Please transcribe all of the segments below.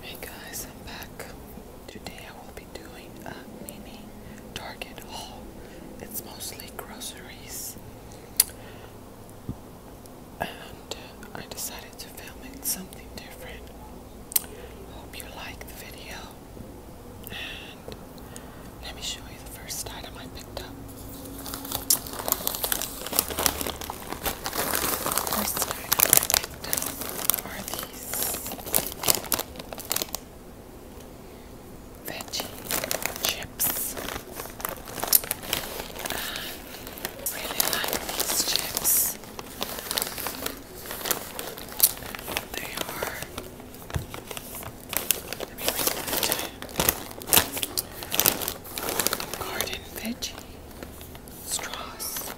Hey guys, I'm back. Today I will be doing a mini Target haul. It's mostly groceries. And I decided to film it something different. Hope you like the video. And let me show you the first item I picked up. First item I picked up are these veggie chips. really like these chips. They are. Let me Garden veggie straws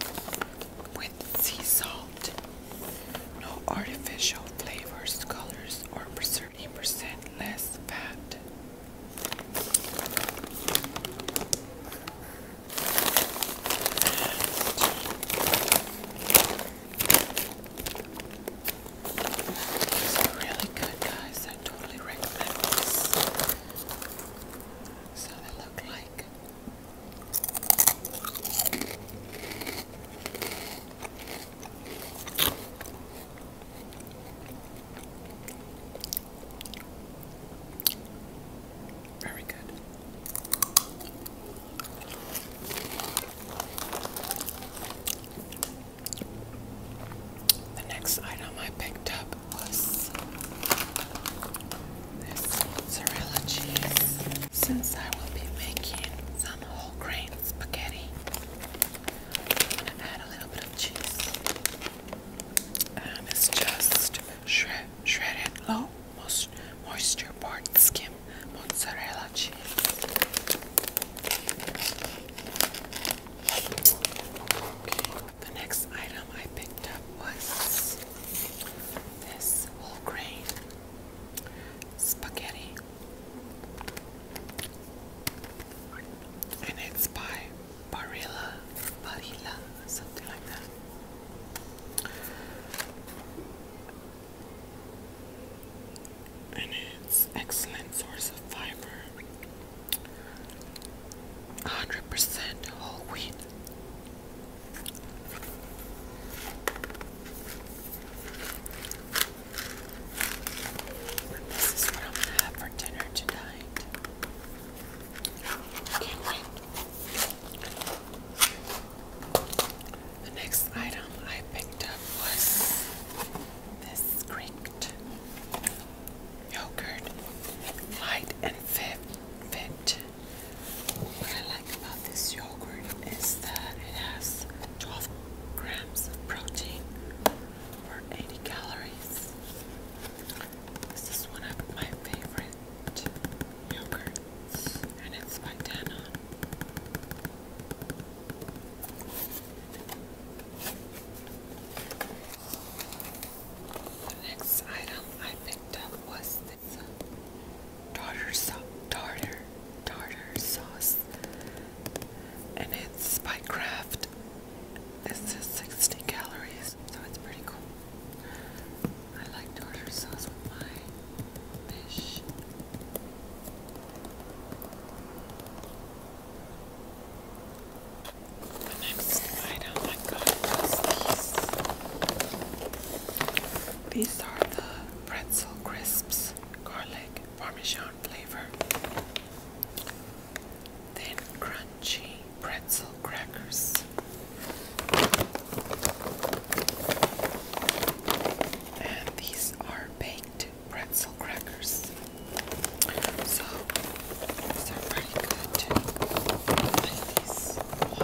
with sea salt. No artificial flavors, colors, or 30% less fat. These are really good, guys really recommend this. So they look like very good. The next item I picked up was this mozzarella cheese. Since I will be making some whole grain spaghetti, I'm going to add a little bit of cheese. And it's just shredded low moisture part skim mozzarella cheese. Okay, the next item I picked up was this whole grain spaghetti. And it's by Barilla, Barilla, something like that and it's excellent source of fiber 100% whole wheat this is what I'm gonna have for dinner tonight. Can't wait. The next item I picked up was this Greek yogurt, light and fit. fit. What I like about this yogurt is that it has 12 grams of protein for 80 calories. This is one of my favorite yogurt and it's by Dana. The next item I picked up was this uh, tartar sauce, tartar, tartar sauce, and it's by Kraft. This is 60 calories, so it's pretty cool. I like to sauce with my fish. The next item I got these. These are the pretzel crisps, garlic, parmesan flavor. Then crunchy pretzel crackers. And these are baked pretzel crackers. So these are pretty good like these a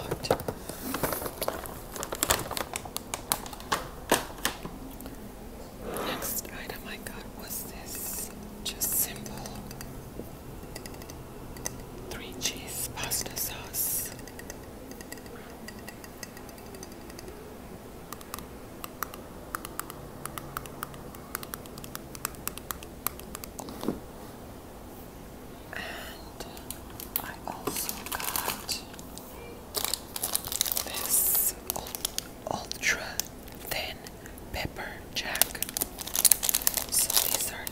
Next item I got was this just simple three cheese pasta sauce. And I also got this ultra thin pepper jack. So these are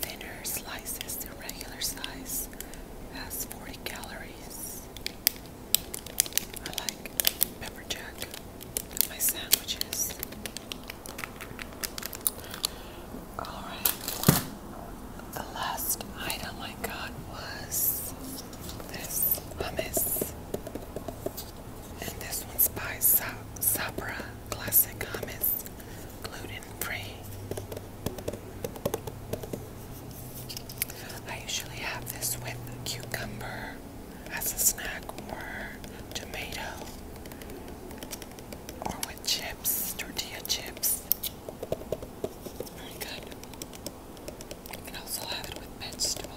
Thinner slices than regular size That's 40 calories. I like pepper jack my sandwiches. Alright, the last item I got was this hummus. And this one's by Sabra Classic Hummus, gluten free. I usually have this with cucumber as a snack or tomato or with chips, tortilla chips. Very good. You can also have it with vegetables.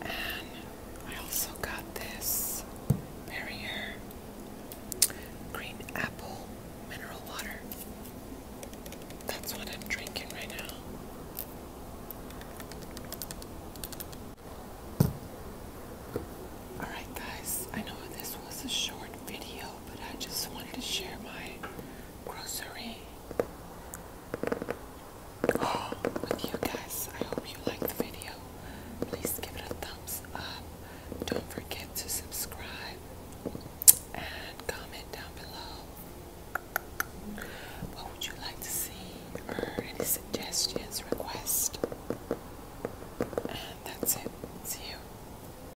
And I also got this Perrier Green Apple Mineral Water. That's what I'm drinking right now. Alright, guys, I know this was a short video, but I just wanted to share my grocery oh, with you guys. I hope you liked the video. Please give it a thumbs up. Don't forget to subscribe and comment down below. What would you like to see or any suggestions, requests? And that's it. See you.